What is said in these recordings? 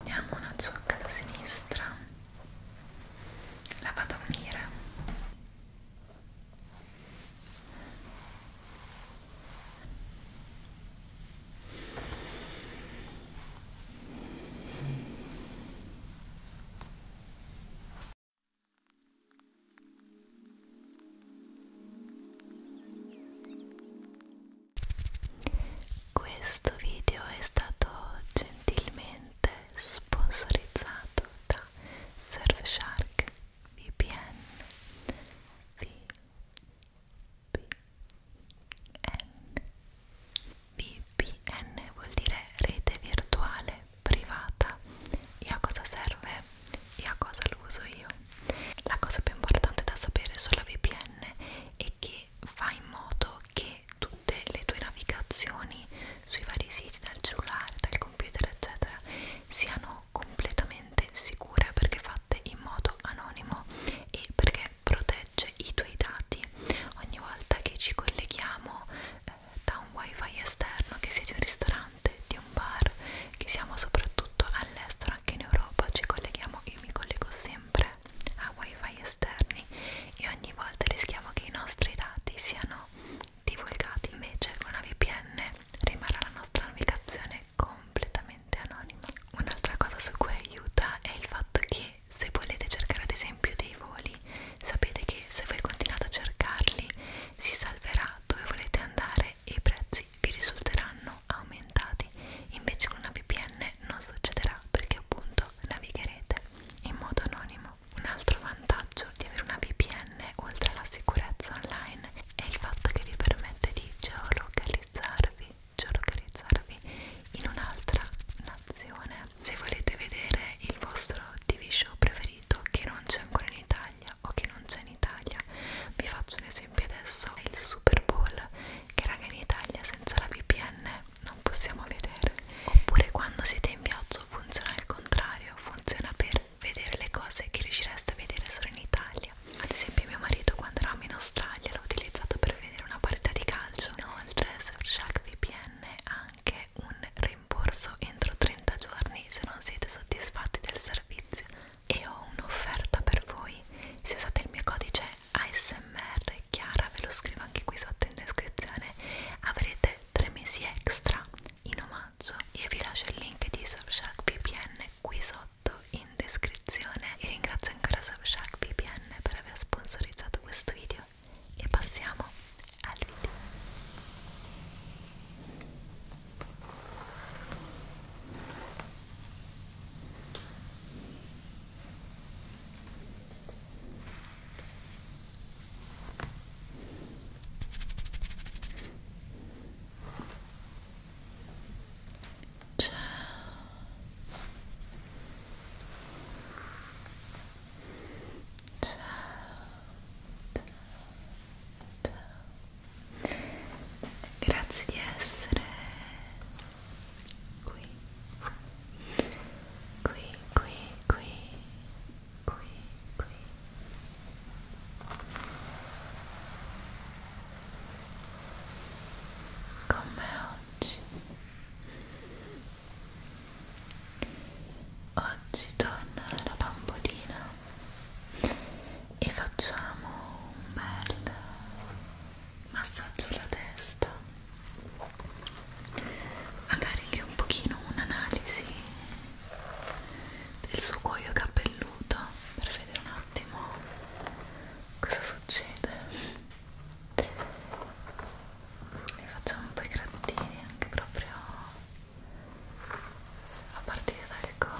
Prendiamo una ciocca da sinistra, la vado a unire. Questo video è stato gentilmente sponsorizzato da Surfshark VPN VPN VPN vuol dire rete virtuale privata e a cosa serve e a cosa lo uso io la cosa più importante da sapere sulla VPN è che e fa in modo che tutte le tue navigazioni sui vari siti dal cellulare, dal computer eccetera siano completamente sicure perché fatte in modo anonimo e perché protegge i tuoi dati ogni volta che ci colleghiamo eh, da un wifi esterno che sia di un ristorante, di un bar che siamo soprattutto all'estero anche in Europa ci colleghiamo, io mi collego sempre computer ha wifi esterni e ogni volta rischiamo che i nostri dati siano divulgati invece con una VPN rimarrà la nostra navigazione completamente anonima un'altra cosa su cui aiuta è il fatto che se volete cercare ad esempio dei voli sapete che se voi continuate a cercarli si salverà dove volete andare e i prezzi vi risulteranno aumentati invece con una VPN me non succederà perché appunto navigherete in modo anonimo. Un altro vantaggio di avere una VPN oltre alla sicurezza online è il fatto che vi permette di geolocalizzarvi, geolocalizzarvi in un'altra nazione. Se volete vedere il vostro TV show preferito che non c'è ancora in Italia o che non c'è in Italia, vi faccio un esempio adesso, è il Super Bowl che raga in Italia senza la VPN non possiamo vedere oppure quando siete in viaggio funziona il contrario funziona per vedere le cose che riuscireste a vedere solo in Italia ad esempio mio marito quando eravamo in Australia l'ho utilizzato per vedere una partita di calcio inoltre Surfshark VPN ha anche un rimborso entro 30 giorni se non siete soddisfatti del servizio e ho un'offerta per voi se usate il mio codice ASMR è chiara ve lo scrivo anche qui sotto in descrizione avrete 3 mesi extra in omaggio io vi lascio il link di Surfshark VPN qui sotto in descrizione e ringrazio ancora Surfshark VPN per aver sponsorizzato questo video e passiamo al video Ciao. Ciao. Ciao. Ciao. Grazie di essere qui, qui, qui, qui, qui, qui. Come oggi? Oggi torna la bambolina e facciamo un bel massaggio alla testa magari anche un pochino un'analisi del suo cuoio capelluto per vedere un attimo cosa succede ne facciamo un po' i grattini anche proprio a partire dal collo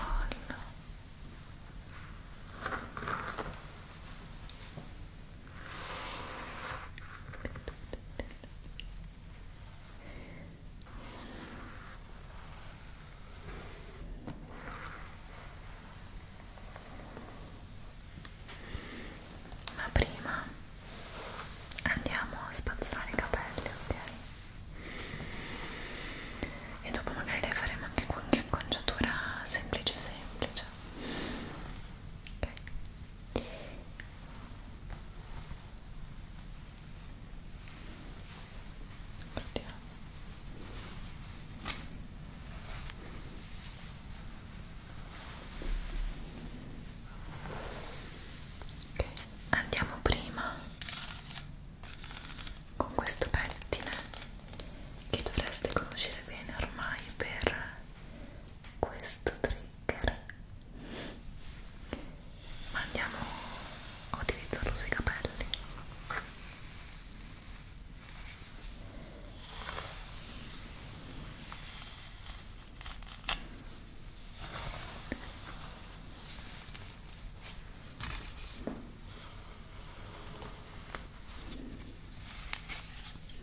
ma prima andiamo a spazzolare i capelli, ok? E dopo magari le faremo anche qualche inconciatura semplice semplice. Ok. Guardiamo. Okay. Andiamo prima con questo pettine che dovreste conoscere bene ormai per questo trigger ma andiamo a utilizzarlo sui capelli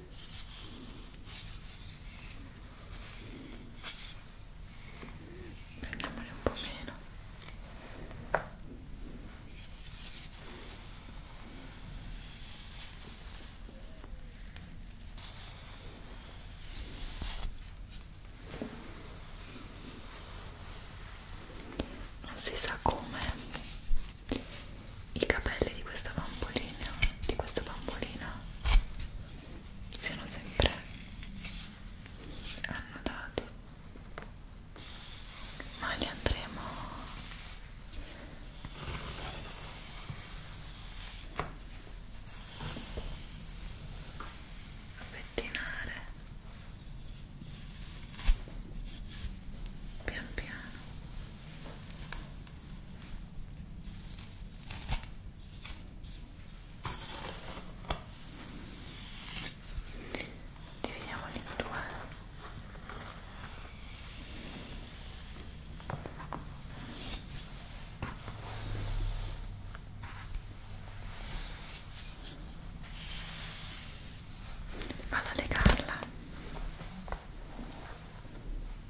prendiamole un po' meno non si sa come i capelli di questa bambolina di questa bambolina siano sempre annodati ma li andremo a pettinare pian piano dividiamoli in due Vado a legarla.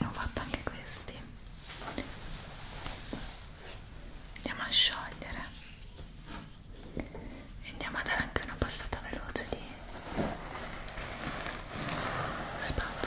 e ho fatto anche questi andiamo a sciogliere e andiamo a dare anche una passata veloce di spazio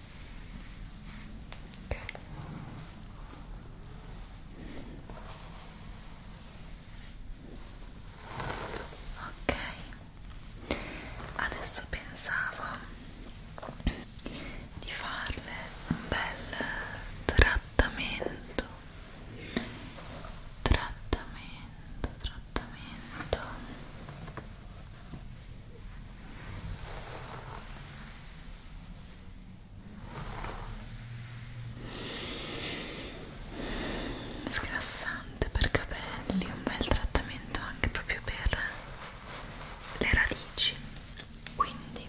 Okay. ok adesso pensavo di farle un bel trattamento trattamento trattamento sgrassante per capelli un bel trattamento anche proprio per le radici quindi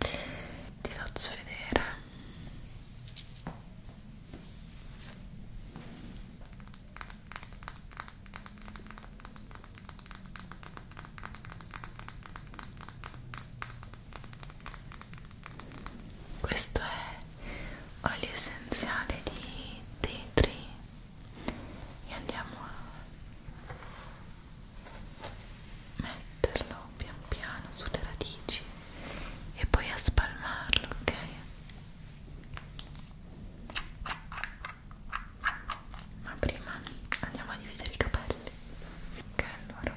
ti faccio vedere questo è olio essenziale di tea tree e andiamo a metterlo pian piano sulle radici e poi a spalmarlo, ok? ma prima andiamo a dividere i capelli ok allora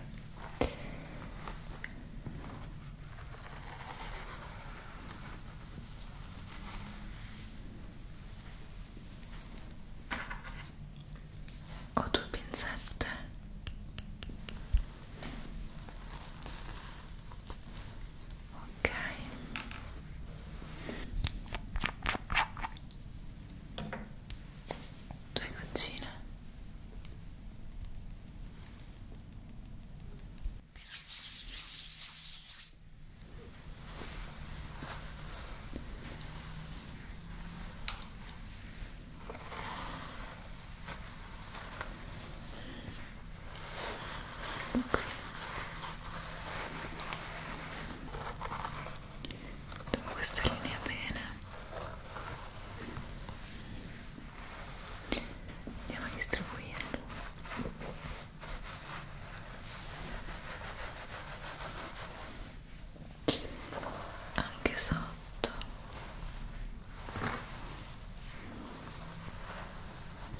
ho due pinzette ok due goccine ok Dopo questa linea bene andiamo a distribuirlo anche sotto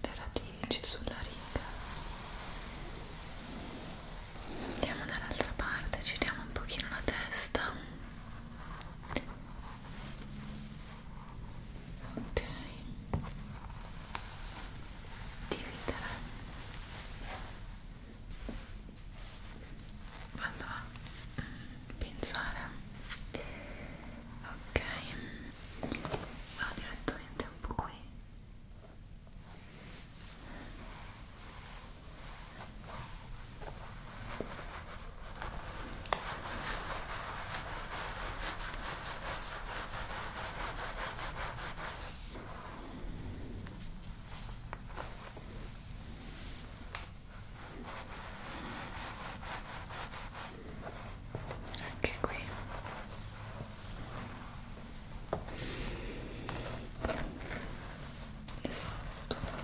le radici sulla riga andiamo dall'altra parte giriamo un pochino la testa ok dividere quando ha pensare ok vado direttamente un po' qui ok anche qui esatto vado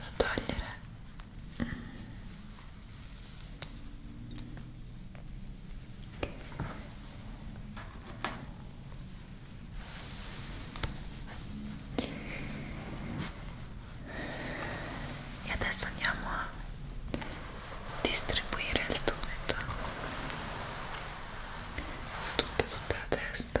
a togliere e adesso andiamo a distribuire il tumeto su tutta, tutta la testa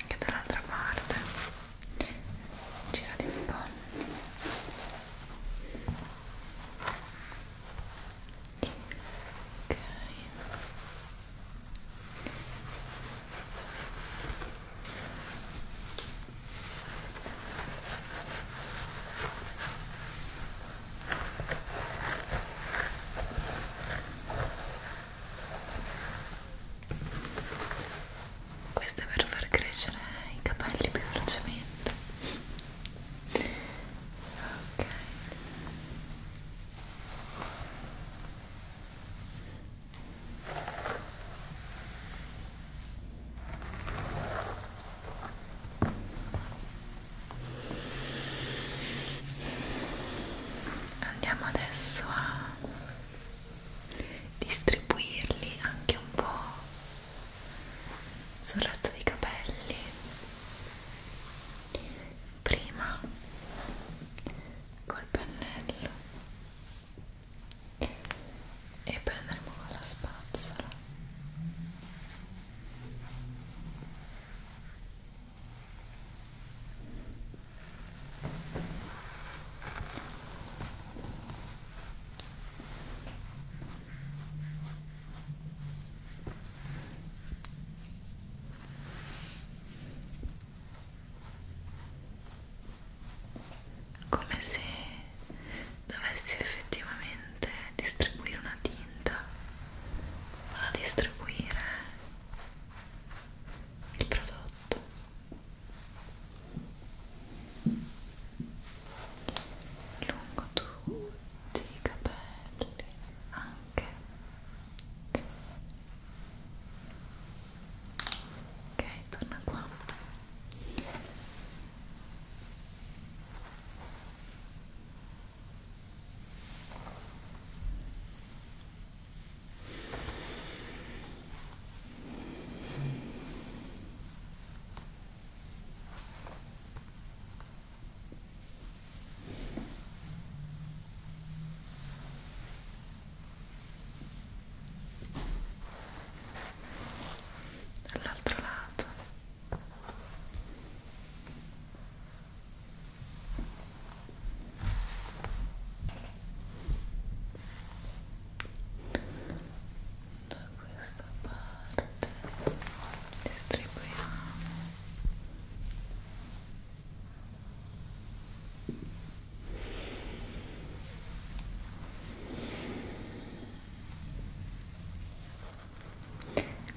anche dall'altra parte girati un po' ok ok questo è per far crescere i capelli più velocemente ok Andiamo adesso a distribuirli anche un po' sul razzo dei capelli prima col pennello e poi andremo con la spazzola come se dovessi effettivamente distribuire una tinta vado a distribuire il prodotto lungo tutti i capelli anche ok torna qua ok dall'altro lato da questa parte distribuiamo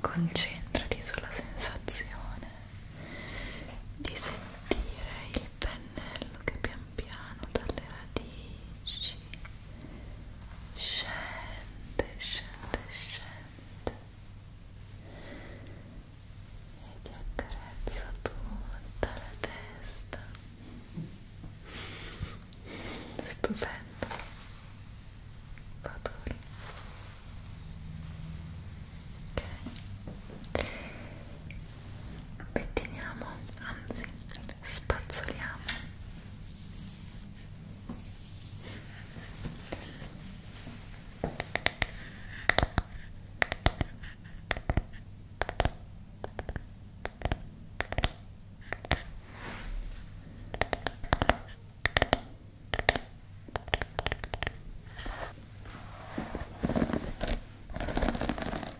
Concentrati sulla sensazione di sentire il pennello che pian piano dalle radici scende, scende, scende e ti accarezza tutta la testa stupendo Baduri. ok pettiniamo, anzi spazzoliamo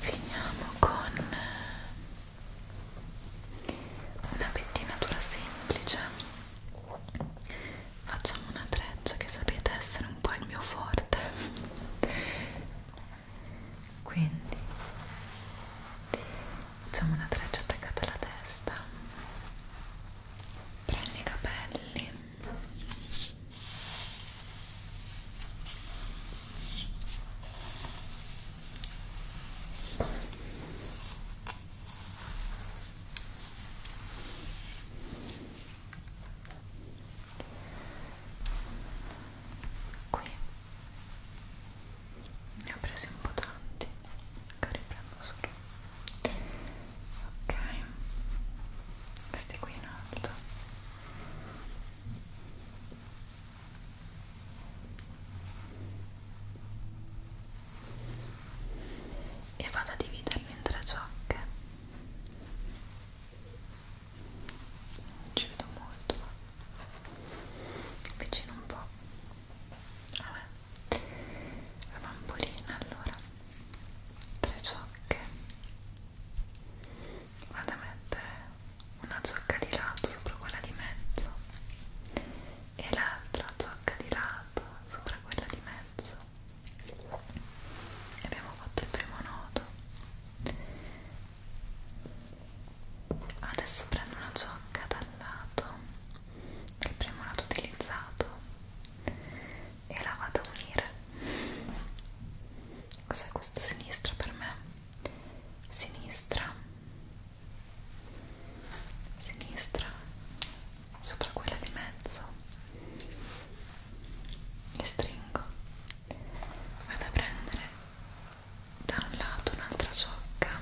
Finiamo con una pettinatura semplice facciamo una treccia che sapete essere un po' il mio forte quindi facciamo una treccia attaccata alla testa prendi i capelli qui ne ho presi un po' tanti che riprendo solo ok questi qui in alto ok e vado a dividerlo in tre ciocche non ci vedo molto vicino un po' vabbè la bambolina allora tre ciocche vado a mettere una ciocca di lato sopra quella di mezzo e l'altra ciocca di lato sopra quella di mezzo e abbiamo fatto il primo nodo adesso prendo una giocca dal lato il primo lato utilizzato e la vado a unire cos'è questa sinistra per me? sinistra sinistra sopra quella di mezzo e stringo vado a prendere da un lato un'altra ciocca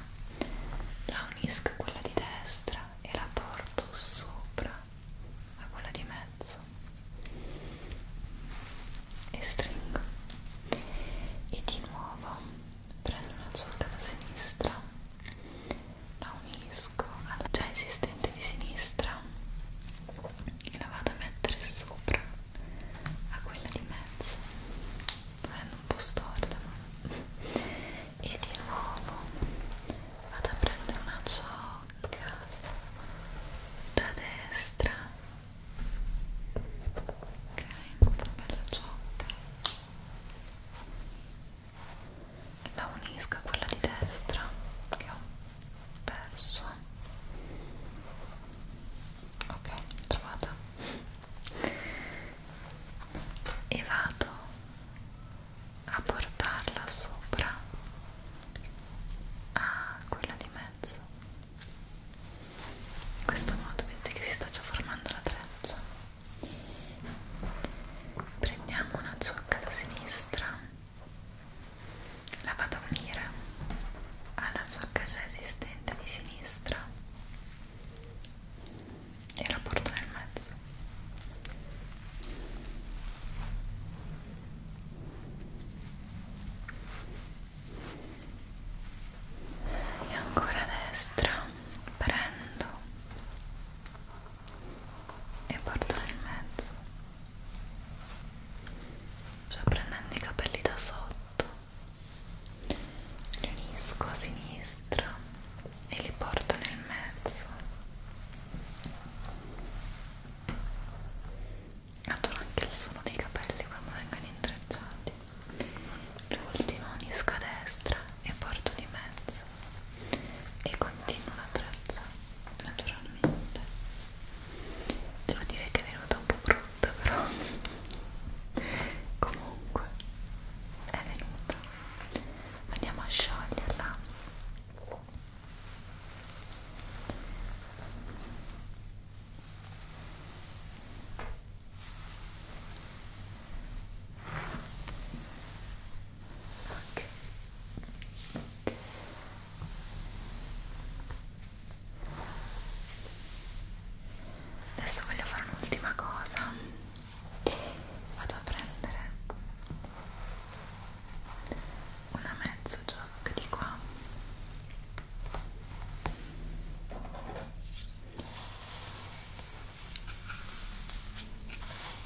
la unisco a quella di destra e la porto sopra a quella di mezzo e stringo e di nuovo prendo una ciocca da sinistra la unisco alla già esistente di sinistra e la vado a mettere sopra a quella di mezzo venendo un po' storta ma... e di nuovo vado a prendere una ciocca da destra ok, una bella ciocca la unisca a quella di destra che ho perso ok trovata e vado a portarla sopra a quella di mezzo in questo modo vedete che si sta già formando la treccia prendiamo una ciocca da sinistra la vado a unire alla ciocca già esistente di sinistra e la porto nel mezzo e ancora a destra prendo e porto nel mezzo cioè prendendo i capelli da sotto li unisco a sinistra e li porto nel mezzo adoro anche il suono dei capelli quando vengono intrecciati l'ultimo unisco a destra e porto di mezzo presso e continuo l'abbraccio naturalmente devo dire che è venuta un po' brutta però comunque è venuta andiamo a scioglierla ok adesso voglio fare un'ultima cosa vado a prendere una mezza giacca di qua ok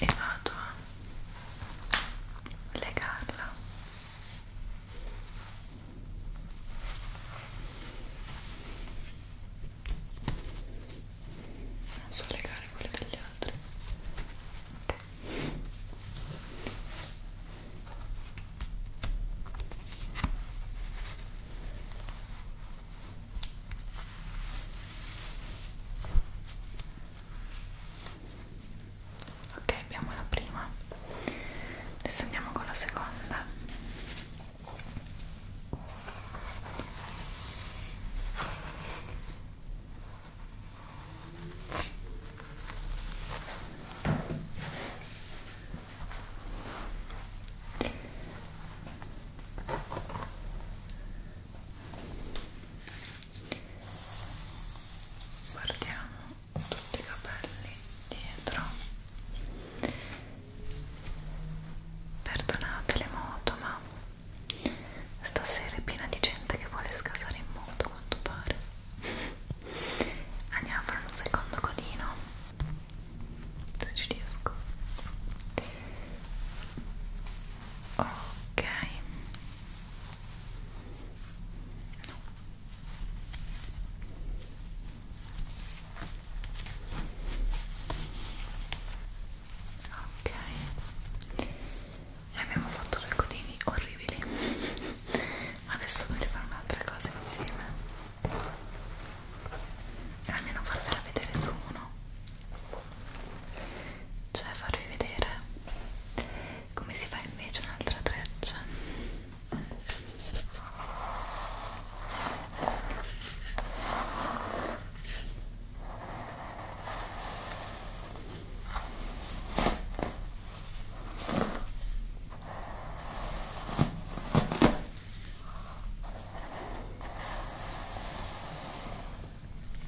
e vado a legarla non so legare quelle degli altri ok ok abbiamo la prima adesso andiamo con la seconda guardiamo tutti i capelli dietro perdonate le moto ma stasera è piena di gente che vuole scavare in moto quanto pare andiamo a fare un secondo codino se ci riesco ok ok e abbiamo fatto due codini orribili adesso voglio fare un'altra cosa insieme almeno farvela vedere su uno cioè farvi vedere come si fa invece un'altra treccia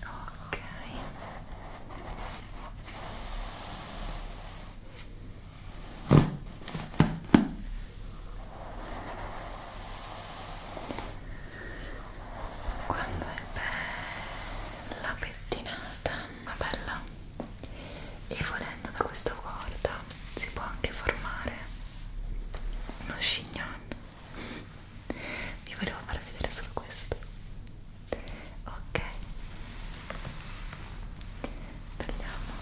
ok quando è bella pettinata ma bella e volendo da questa corda si può anche formare uno chignon vi volevo far vedere solo questo ok tagliamo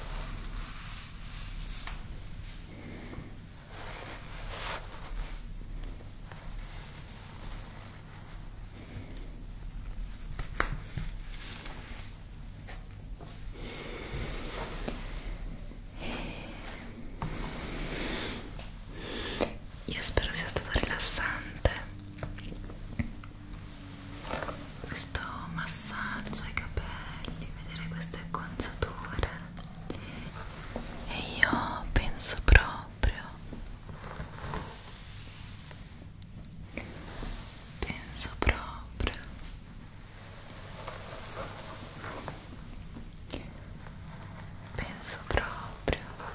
io spero sia stato rilassante questo massaggio ai capelli, vedere queste acconciature e io penso proprio penso proprio penso proprio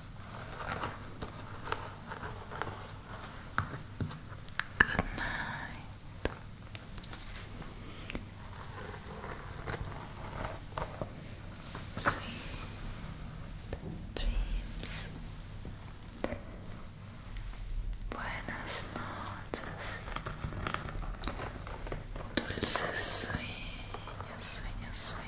Good night. Sweet dreams. Buenas noches. Dulces sueños, sueños.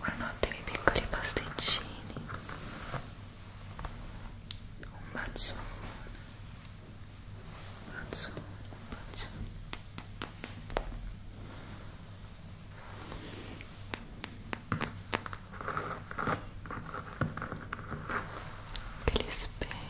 Buonanotte miei piccoli pasticcini. Un bacione. Un bacione, un bacione. Che li spera.